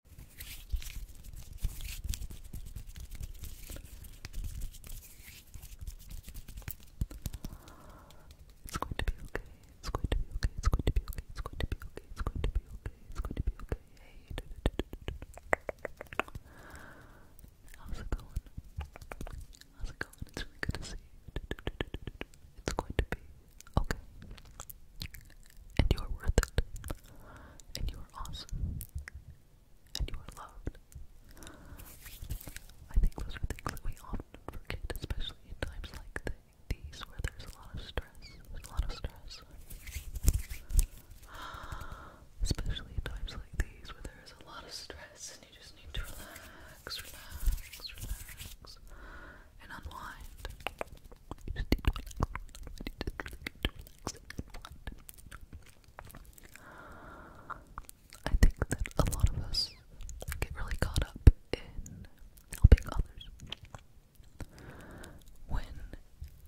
It's going to be okay. It's going to be okay. It's going to be okay. It's going to be okay. It's going to be okay. It's going to be okay. Hey, do, do, do, do, do. how's it going? How's it going? It's really good to see you. Do, do, do, do, do, do. It's going to be okay, and you're worth it and you are awesome, and you are loved. I think those are things that we often forget, especially in times like these where there's a lot of stress. There's a lot of stress. Especially times like these where there is a lot of stress and you just need to relax, relax, relax, and unwind. I think that a lot of us get really caught up in helping others. When,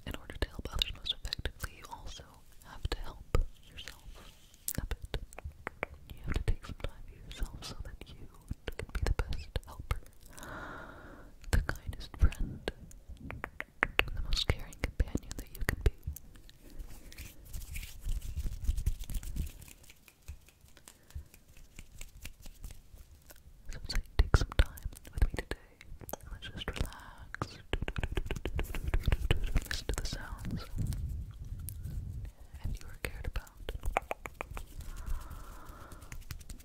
in order to help others most effectively, you also have to help yourself a You have to take some time for yourself so that you can be the best helper the kindest friend, the most caring companion that you can be. So take some time with me today, let's just relax, listen to the sounds, and you are cared about.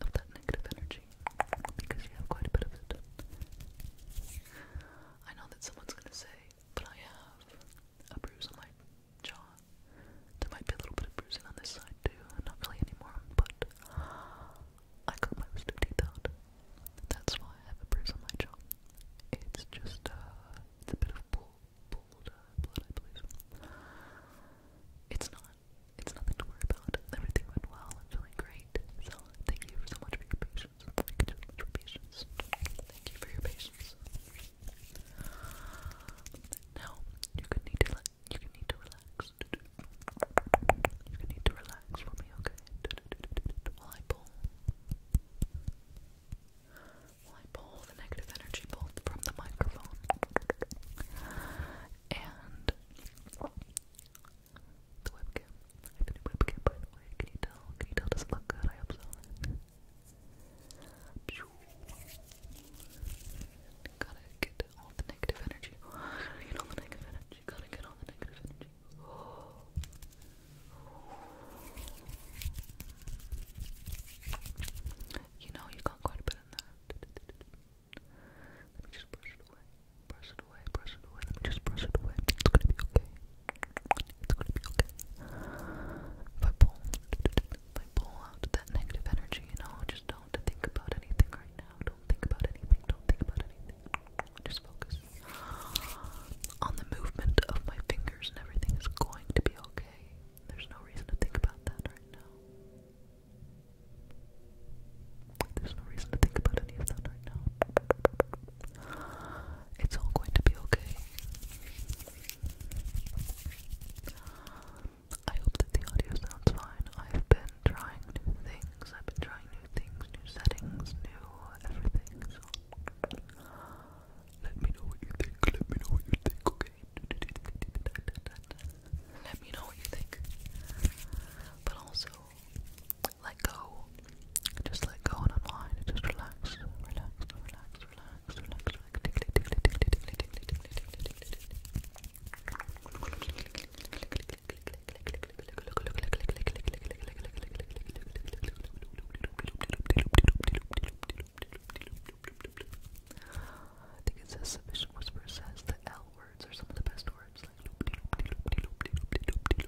of that negative energy because you have quite a bit of it. I know that someone's gonna say, but I have a bruise on my jaw. There might be a little bit of bruising on this side too, not really anymore, but I got my wisdom teeth out. That's why I have a bruise on my jaw. It's just, uh, a bit of bull, uh, blood, I believe. It's not it's nothing to worry about. Everything went well. I'm feeling great. So thank you so much for your patience. Thank you so much for patience. Thank you for your patience. Now you could need to let you can need to relax. You can need to relax for me, okay? While I pull, while I pull the negative energy both from the microphone and the webcam. I have a new webcam, by the way. Can you tell? Can you tell? Does it look good? I hope so. Gotta get all the negative energy. get all the negative energy. Gotta get all the negative energy. You know, you got quite a bit in that. Let me just brush it away. Brush it away, brush it away. Let me just brush it away. It's gonna be okay. It's gonna be okay. If I pull, if I pull out that negative energy, you know, just don't think about anything right now. Don't think about anything. Don't think about anything. Just focus on the movement of my fingers, and everything is going to be okay. There's no reason to think about that right now. There's no reason to think about any of that right now. It's all going to be okay. I hope that the audio sounds fine. I've been trying new things. I've been trying new things, new settings, new everything. So let me know what you think. Let me know what you think, okay? Let me know what you think. But also, let go. Just let go and unwind. just relax. Relax, relax, relax, relax, relax. I think it says Submission Whisper says the L words are some of the best words, like and let let let let me get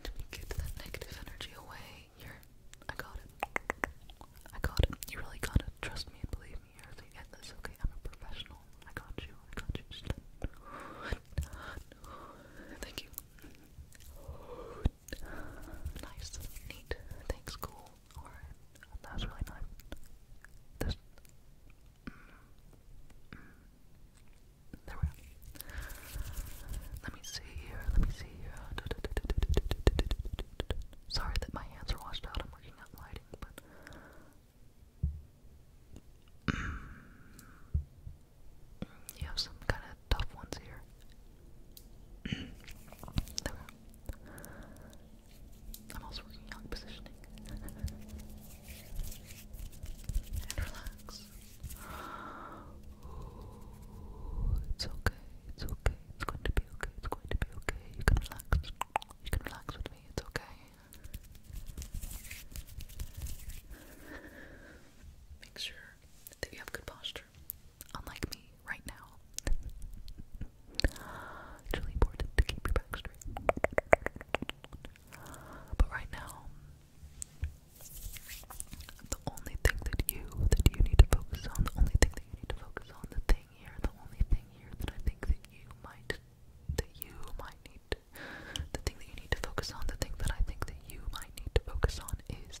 let me get that negative energy away. you I got it. I got it. You really got it. Trust me and believe me. You're gonna get Okay, I'm a professional. I got you. I got you. Just Thank you. Nice, neat, thanks, cool. Alright, that was really nice. Mm, mm, there we go. Let me see here, let me see here. Sorry that my hands are washed out, I'm working out lighting, but. Mm, you have some kind of tough ones here. there we go. I'm also working on positioning. and relax. it's okay, it's okay, it's going to be okay, it's going to be okay. You can relax. You can relax with me, it's okay. Make sure that you have good posture future, unlike me right now. it's really to keep your back straight. But right now, the only thing that you that you need to focus on, the only thing that you need to focus on, the thing here, the only thing here that I think that you might that you might need, the thing that you need to focus on, the thing that I think that you might need to focus on is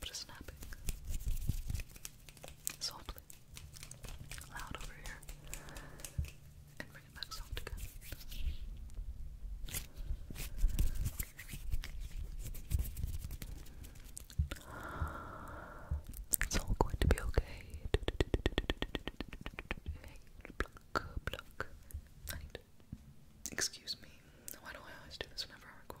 But it's snapping. Softly. Loud over here. And bring it back soft again. It's all going to be okay. Hey, pluck, pluck. Excuse me. Why do I always do this whenever I record?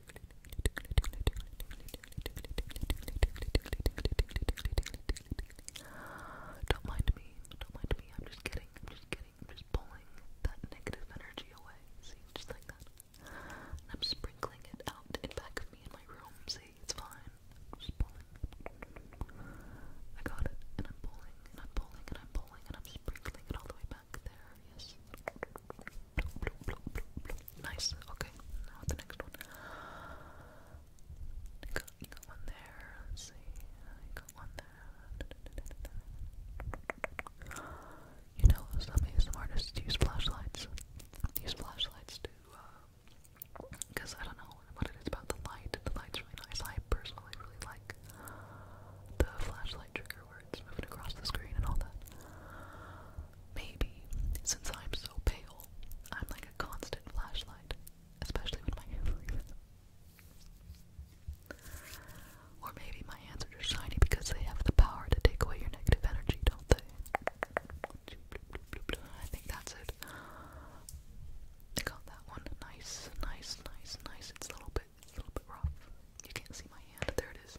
Don't mind me, don't mind me. I'm just kidding, I'm just kidding. I'm just pulling that negative energy away. See, just like that. I'm sprinkling it out in back of me in my room. See, it's fine. just pulling. I got it, and I'm pulling, and I'm pulling, and I'm pulling, and I'm sprinkling it all the way back there. Yes. Nice. Okay. Now the next one. I got, one there. Let's see. I got one there. You know, some artists use flashlights. Use flashlights to, because uh, I don't know what it is about the light. The light's really nice. I personally really like the flashlight trigger where it's moving across the screen and all that. Maybe, since I'm so pale, I'm like a constant flashlight, especially when my hands are Or maybe my hands are just shiny because they have the power to take away your negative energy, don't they? I think that's it. I got that one. Nice, nice, nice, nice. It's a little bit, a little bit rough. You can't see my hand. There it is.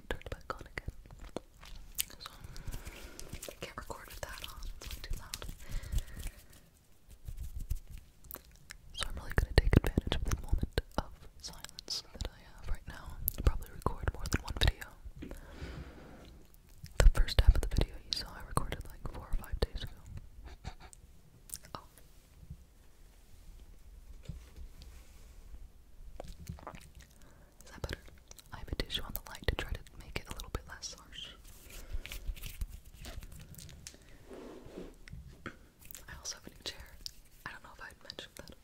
turn back on again. I can't record that on, it's like too loud. So I'm really gonna take advantage of the moment of silence that I have right now. i probably record more than one video. The first half of the video you saw I recorded like four or five days ago. Oh. Is that better? I have a tissue on the light to try to make it a little bit less harsh. I also have a new chair. I don't know if I mentioned that or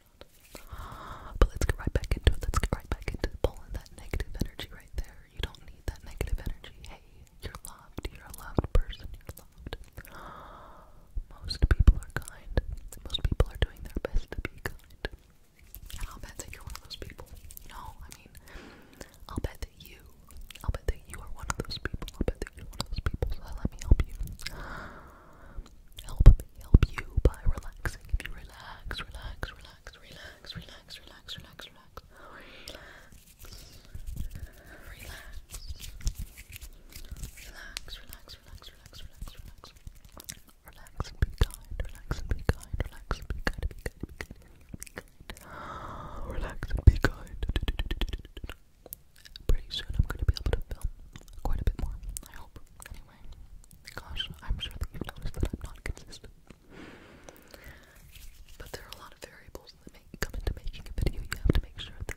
not. But let's get right back into it. Let's get right back into pulling that negative energy right there. You don't need that negative energy. Hey, you're loved. You're a loved person. You're loved. Most people are kind. Most people are doing their best to be kind. And I'll bet that you're one of those people. No, I mean, I'll bet that you, I'll bet that you are one of those people. I'll bet that you're one of those people. So let me help you. Help me help you by relaxing. If you relax, relax, relax, relax, relax, relax, relax, relax. Relax. Relax. Relax, relax, relax, relax, relax, relax. Relax and be kind, relax and be kind, relax and be kind, be kind, Relax and be kind. Pretty soon I'm going to be able to film quite a bit more, I hope. Anyway, gosh, I'm sure that you've noticed that I'm not consistent. But there are a lot of variables that come into making a video. You have to make sure that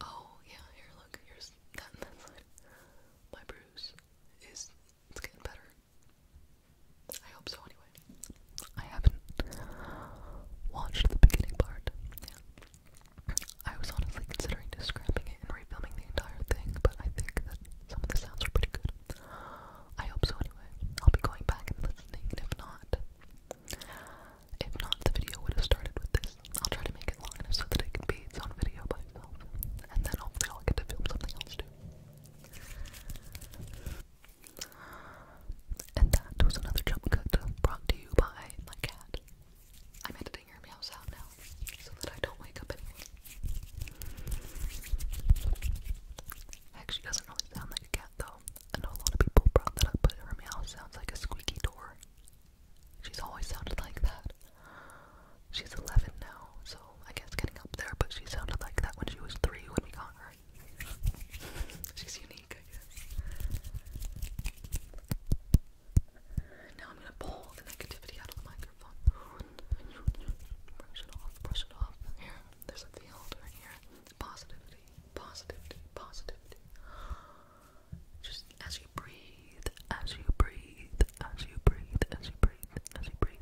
Oh yeah, here look, here's that My bruise is it's getting better. I hope so anyway. I haven't watched the beginning part. Yeah. I was honestly considering just it and refilming the entire thing, but I think that some of the sounds are pretty good. I hope so anyway. I'll be going back and listening, if not, if not, the video would have started with this. I'll try to make it long enough so that it can be its own video by itself. And then I'll get to film something else too. And that was another jump cut brought to you by my cat. I'm editing your meow sound now so that I don't wake up anyone. Actually, doesn't really sound like a cat though. I know a lot of people brought that up, but her meow sounds like a squeaky door. She's always sounded like that. She's 11 now, so I guess getting up there, but she sounded like that when she was 3 when we got her. She's unique, I guess. Now I'm gonna pull the negativity out of the microphone. Brush it off, brush it off. Here, there's a field right here. Positivity positivity, positivity. Just as you breathe, as you breathe, as you breathe, as you breathe, as you breathe.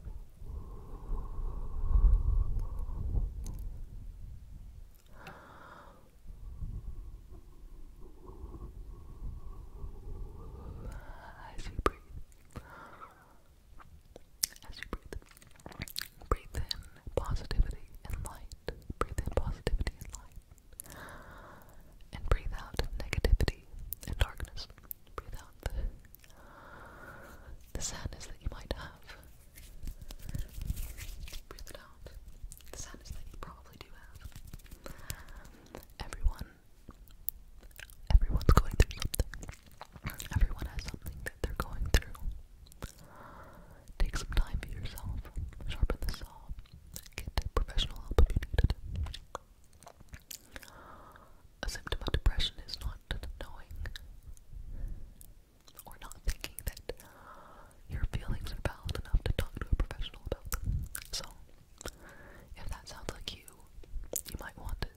As you breathe, as you breathe, Breathe in positivity and light. Breathe in positivity and light. And breathe out negativity and darkness. Breathe out the, sadness that you might have. Breathe out. The sadness that you probably do have. Everyone, everyone's going through something. Everyone has something that they're going through. Take some time for yourself. Sharpen the saw. Get professional help if you need it. A symptom of depression is not knowing or not thinking that your feelings are valid enough to talk to a professional about them. So, if that sounds like you, you might want to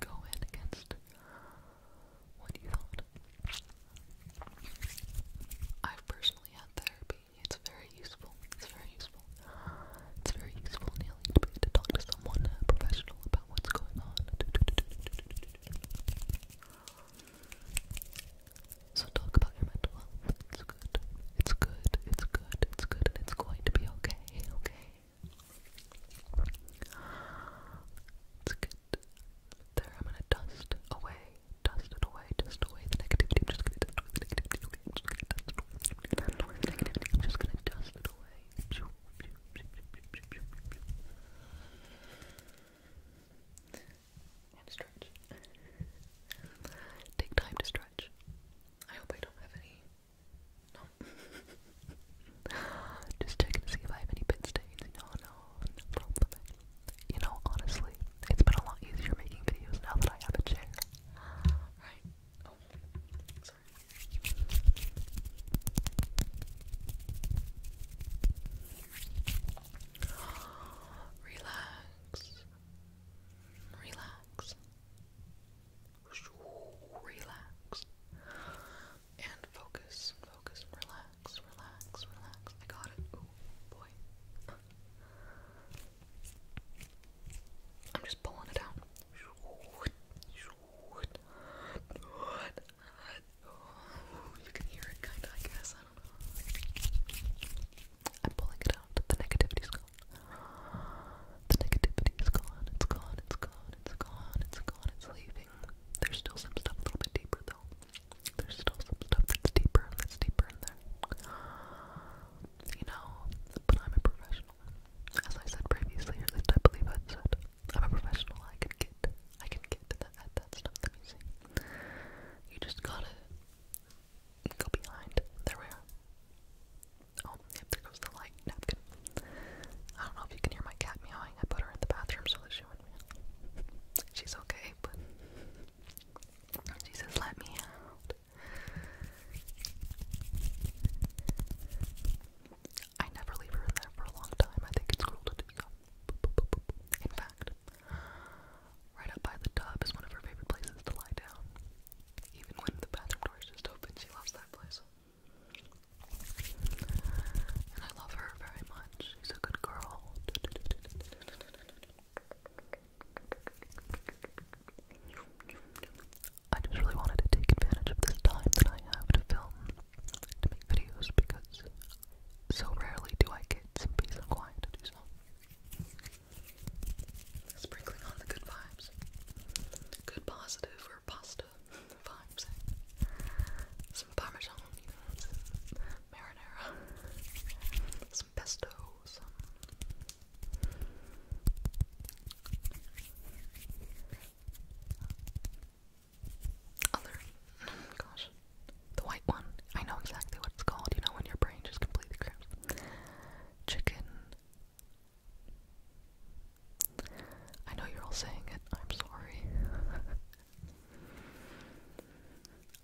go in against what you thought. I've personally had therapy. It's very useful. It's very useful. It's very useful, Neil, to be able to talk to someone uh, professional about what's going on. So talk about your mental health. It's good. It's good. It's good. It's good, and it's going to be okay. Okay. It's good there. I'm gonna dust away, dust it away, dust away the negativity. I'm just gonna dust away the negativity. Okay, I'm just gonna dust away, dust away the negativity. I'm just gonna dust it away. And stretch. Take time to stretch. I hope I don't have any. No. Just checking to see if I have any pit stains. No, no, You know, honestly, it's been a lot easier making videos now that I have a chair. Right? sorry. Relax. Relax. Relax. And focus, focus, and relax relax, relax, I got it. Oh boy. I'm just pulling it out. Oh, you can hear it kinda, I guess. I don't know. I'm pulling it out. The negativity's gone. The negativity's gone. It's gone. It's gone. It's gone. It's gone. It's leaving. There's still some stuff a little bit deeper though. There's still some stuff that's deeper, that's deeper in there. You know, but I'm a professional. As I said previously, or at I believe i said, I'm a professional. I can get, I can get at that stuff. Let me see. You just gotta go behind. There we are. Oh, there goes the light napkin. I don't know if you can hear my cat meowing. I put her in the bathroom so that she She's okay, but she says, let me I never leave her in there for a long time. I think it's cruel to do In fact, right up by the tub is one of her favorite places to lie down. Even when the bathroom door is just open, she loves that place. I love her very much. She's a good girl. I just really wanted to take advantage of this time that I have to film, to make videos, because so rarely do I get some peace and quiet Sprinkling on the good vibes. Good positive or pasta vibes. Some parmesan, some marinara, some pesto, some other. Gosh, the white one. I know exactly what it's called. You know when your brain just completely cramps. Chicken. I know you're all saying it. I'm sorry.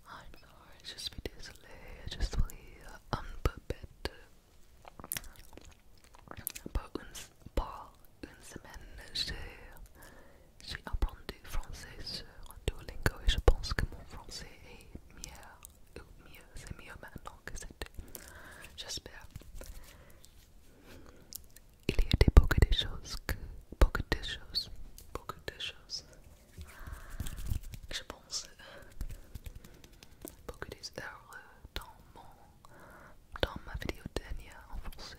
I'm sorry, je suis désolée, je suis un peu bête. Pour une, pour une semaine, j'ai appris français sur Duolingo et je pense que mon français est mieux, ou mieux, c'est mieux maintenant que c'était. J'espère. il y a des, beaucoup de choses que beaucoup de choses beaucoup de choses je pense beaucoup erreurs euh, dans mon dans ma vidéo dernière en français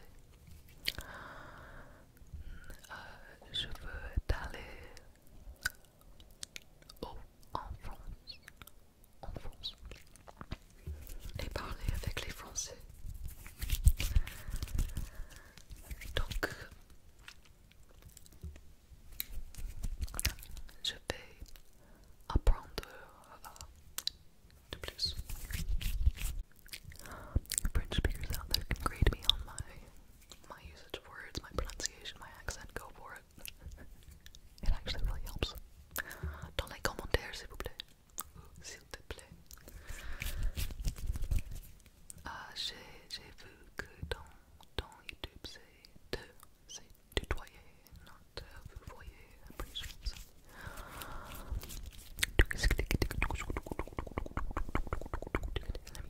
euh, je veux aller au, en France en France et parler avec les euh, French speakers out there can grade me on my my usage of words, my pronunciation, my accent. Go for it. it actually really helps. Dans les commentaires, s'il vous s'il te Let me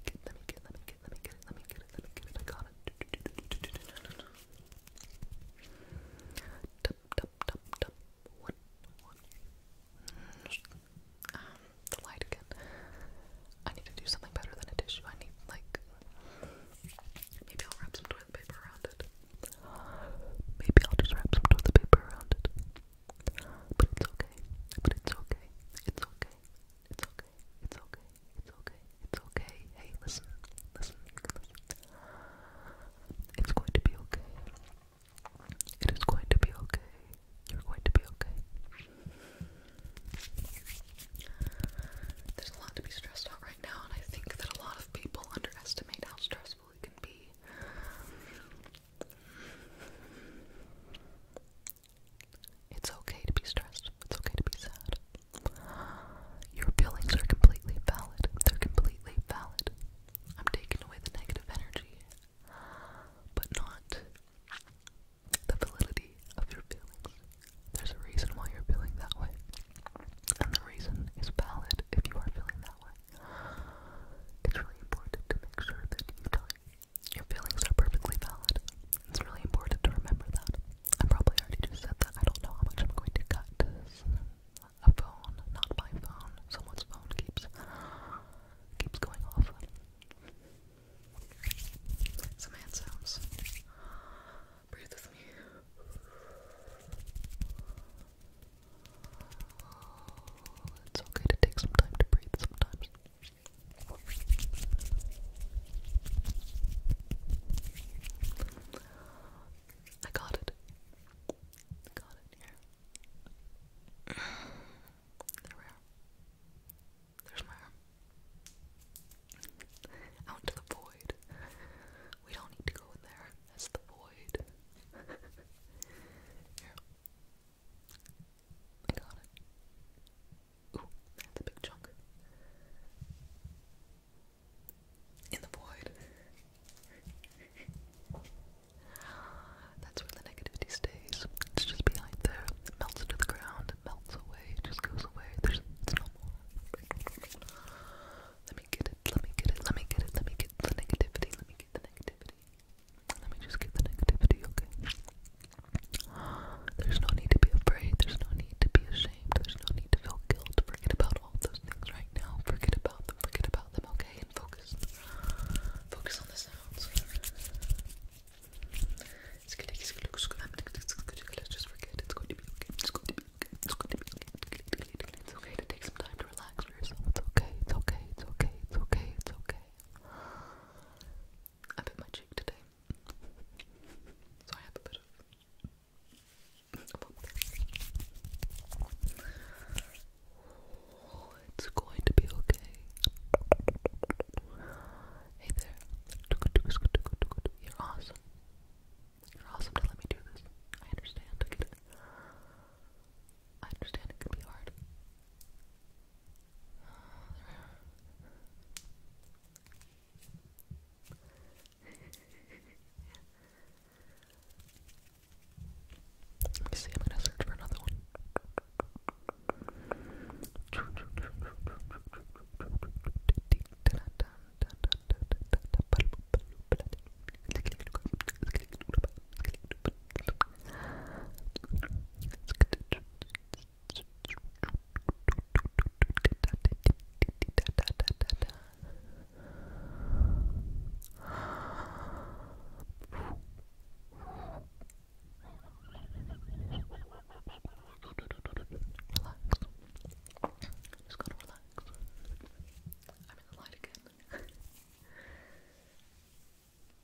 get, let me get, let me get, let me get it, let me get it, let me get it, I got it. Tap, tap, tap, tap. One, one, um, the light again. I need to do something better than a tissue. I need, like, maybe I'll wrap some toilet paper around it. Maybe I'll just wrap some toilet paper around it. But it's okay. But it's okay. It's okay. It's okay. It's okay. It's okay. It's okay. Hey, listen. Listen. You can listen. It's going to be okay. It is going to be okay. You're going to be okay. There's a lot to be stressed out right now, and I think that a lot of people underestimate how stressful it can be. It's okay to be stressed. It's okay to be sad. Your feelings are completely valid. They're completely valid. I'm taking away the negative energy, but not the validity of your feelings. There's a reason why you're feeling that way, and the reason is valid if you are feeling that way. It's really important to make sure that Your feelings are perfectly valid. It's really important to remember that. I probably already just said that. I don't know how much I'm going to cut this a phone, not my phone, someone's phone keeps keeps going off. It's okay to take some time to breathe sometimes. I got it. I got it here there we are. There's my arm. Out to the void. We don't need to go in there. That's the void. Here. I got it. Ooh, that's a big chunk. In the void. That's where the negativity stays. It's just behind there. It melts into the ground. It melts away. It just goes away. There's it's no more. Let me get it. Let me get it. Let me get it. Let me get the negativity. Let me get the negativity. Let me just get the negativity, okay? There's no need to be afraid. There's no need to be ashamed. There's no need to feel guilt. Forget about all those things right now. Forget about forget about them, okay? And focus. Focus on the sounds. It's gonna just forget. It's going to be It's going to be It's going to be It's okay to take some time to relax for yourself. It's okay. It's okay. It's okay. It's okay. It's okay. I bit my cheek today, so I have a bit of it's going to be okay. Hey there. You're awesome. You're awesome to let me do this. I understand. I understand it could be hard. Let me see, I'm gonna search for another one. Relax. Just gotta relax. I'm in the light again.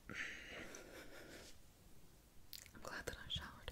I'm glad that I showered.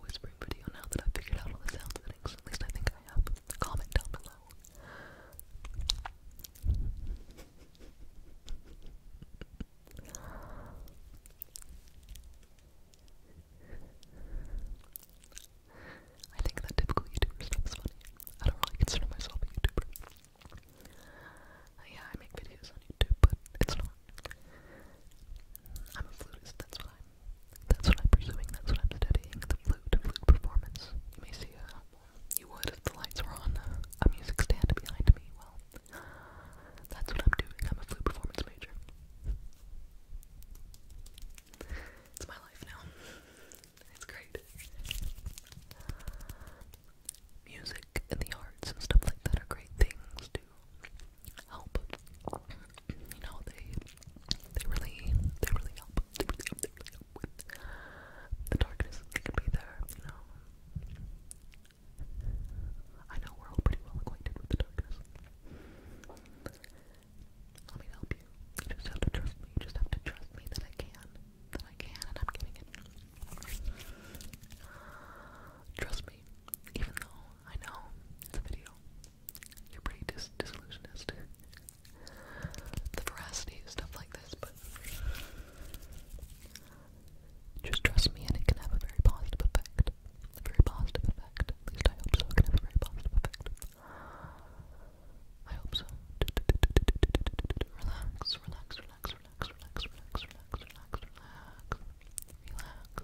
whispering video now that I've figured out all the sound settings. At least I think I have. Comment down below. I think that typical YouTuber stuff's funny. I don't really consider myself a YouTuber. Uh, yeah, I make videos on YouTube, but it's not. I'm a flutist, that's what I'm, that's what I'm pursuing, that's what I'm studying, the flute, flute performance. You may see a, uh, you would if the lights were on uh, a music stand behind me, well, that's what I'm doing, I'm a flute performance major. It's my life now. It's great. Music and the arts and stuff like that are great things to help. You know, they they really they really help. the darkness that be there, you know. I know we're all pretty well acquainted with the darkness. Let me help you. You just have to trust me. You just have to trust me that I can. That I can, and I'm giving it. Trust me. Even though I know. It's a video. You're pretty dis the veracity of stuff like this, but just trust me and it can have a very positive effect. A very positive effect. At least I hope so. can have a very positive effect. I hope so. Relax, relax, relax, relax, relax, relax, relax, relax, relax, relax. Relax.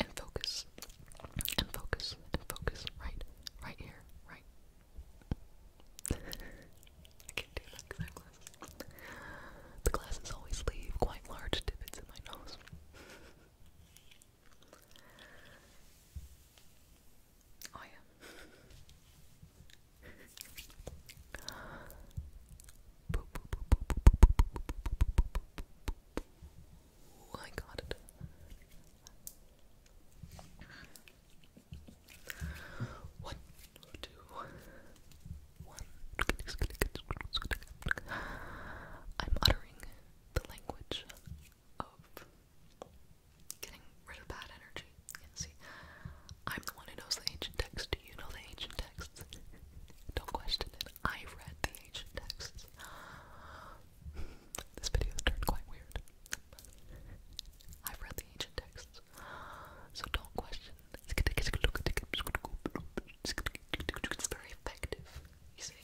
and focus and focus and focus right right here right I can't do that The glasses always leave quite large divots in my nose. Oh yeah. Oh, I got it. One, two, one. I'm uttering the language of getting rid of bad energy. see, I'm the one who knows the ancient text. Do you know the ancient texts? Don't question it. I read the ancient texts. this video turned quite weird. I've read the ancient texts, so don't question. It's very effective, you see.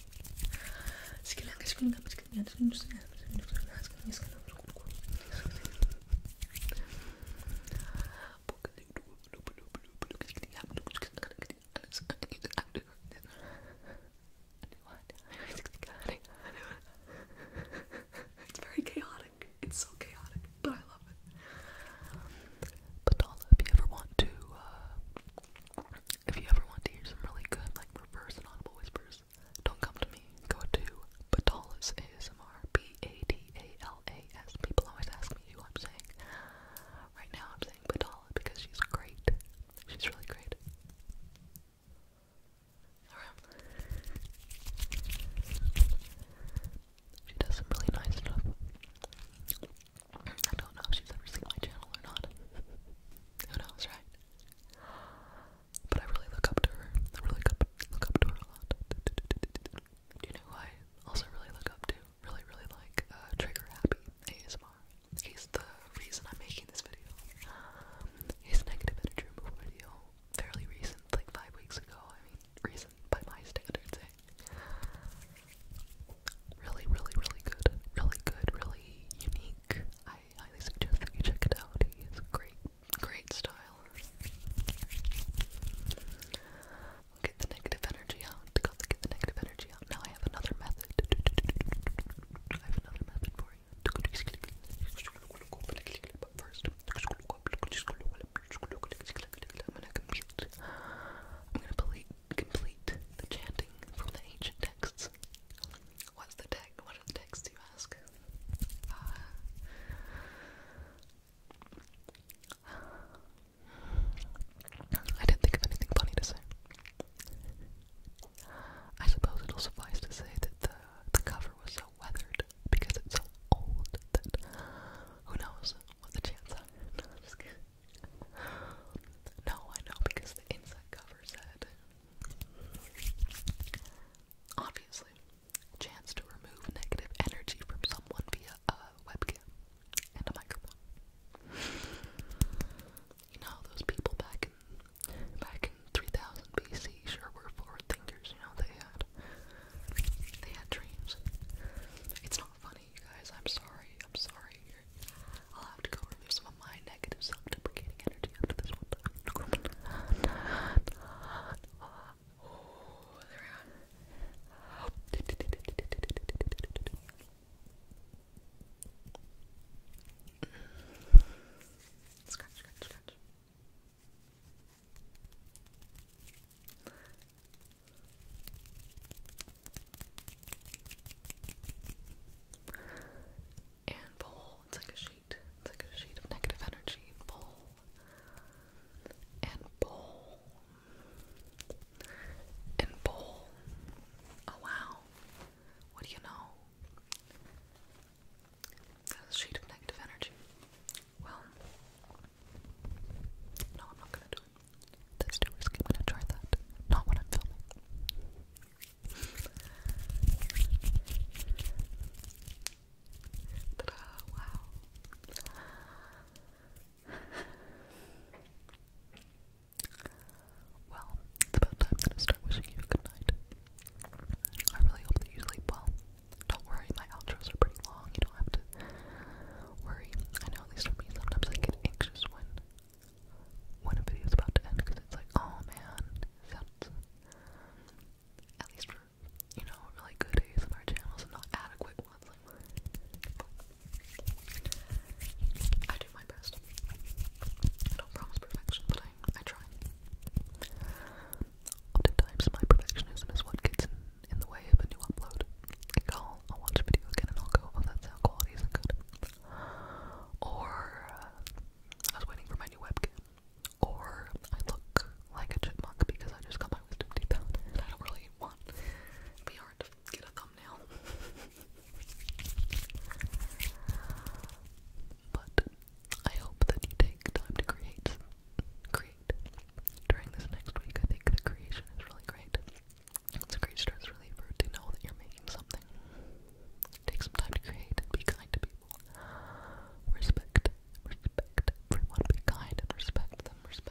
It's very chaotic. It's so chaotic, but I love it. But if you ever want to, uh, if you ever want to hear some really good, like, reverse and audible whispers, don't come to me. Go to Batala's ASMR. B-A-D-A-L-A-S. People always ask me who I'm saying. Right now I'm saying Batala because she's great. She's really great. She does some really nice stuff. I don't know if she's ever seen my channel or not. Who knows, right? But I really look up to her. I really look look up to her a lot. you know I also really look up to? really, really like uh, Trigger Happy ASMR. He's the reason I'm making this video. Um, negative energy removal video, fairly recent, like five weeks ago. I mean, recent by my standards. Eh? Really, really, really good. Really good. Really unique. I highly suggest that you check it out. He great, great style i get the negative energy out. to get the negative energy out. Now I have another method. I have another method for you. first, I'm gonna compute. I'm gonna complete, complete the chanting from the ancient texts. What's the text? What are the texts you ask? Uh, I didn't think of anything funny to say. I suppose it'll suffice to say that the cover was so weathered because it's so old that who knows what the chance No, I know because the inside cover said obviously chance to remove negative energy from someone via a webcam and a microphone. You know, those people back in back in 3000 BC sure were forward thinkers. You know, they had they had dreams. It's not funny, you guys. I'm sorry. I'm sorry. I'll have to go remove some of my negative self-deprecating energy after this one time. Scratch, And It's like a sheet. It's like a sheet of negative energy. Pull and bowl. Oh wow. What do you know? That's a sheet of negative energy. Well, no, I'm not gonna do it. That's too risky. i gonna try that. Not when I'm filming. Wow. Well, it's about time I start wishing you good night. I really hope that you sleep well. Don't worry, my outros are pretty long. You don't have to worry. I know, at least for me, sometimes I get anxious when when a video is about to end because it's like, oh man, that's at least for you know really good ASMR channels and not adequate I do my best. I don't promise perfection, but I, I try. Oftentimes, my perfectionism is what gets in, the way of a new upload. I'll, I'll watch a video again and I'll go, oh, that sound quality isn't good. Or, uh, I was waiting for my new webcam. Or, I look like a chipmunk because I just got my wisdom teeth out and I don't really want VR get a thumbnail. but I hope that you take time to create, create during this next week. I think the creation is really great. It's a great stress reliever to know that you're making something. Take some time to create be kind to people. Respect, respect everyone. Be kind and respect them. Respect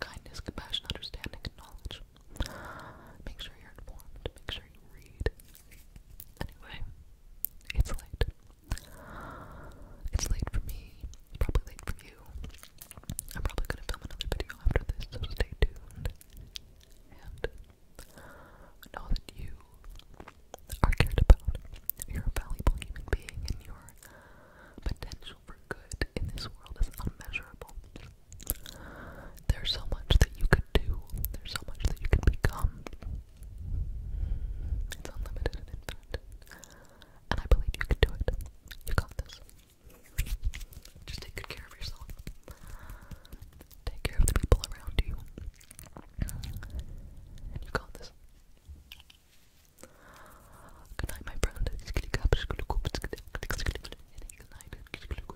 Kindness, compassion, understanding, knowledge. Make sure you're informed. Make sure you read. Anyway, it's late. It's late for me. It's probably late for you. I'm probably gonna film another video after this, so stay tuned. And know that you are cared about. You're a valuable human being, and your potential for good in this world is unmeasurable. There's so much that you could do, there's so much that you can become. It's unlimited and infinite. And I believe you can do it. You got this. Just take good care of yourself. Take care of the people around you. And you got this. Good night, my friend. Good night. Good night. Good night. Good night. Good night. Good night. Good night.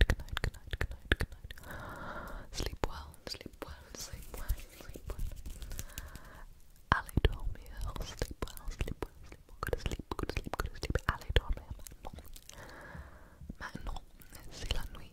Good night. Good night. Sleep well. Sleep well. Sleep well. Sleep well. Ali dormir. Sleep well. Sleep well. Sleep well. Go to sleep. Go to sleep. Go to sleep. Allez dormir. Maintenant. Maintenant, c'est la nuit.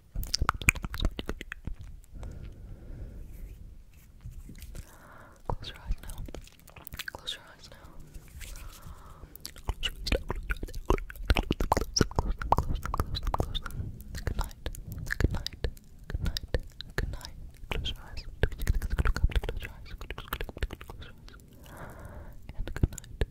Close your eyes now. Close your eyes now. Good night. Good night. Good night. Good night. close your eyes. Close your eyes. And good night.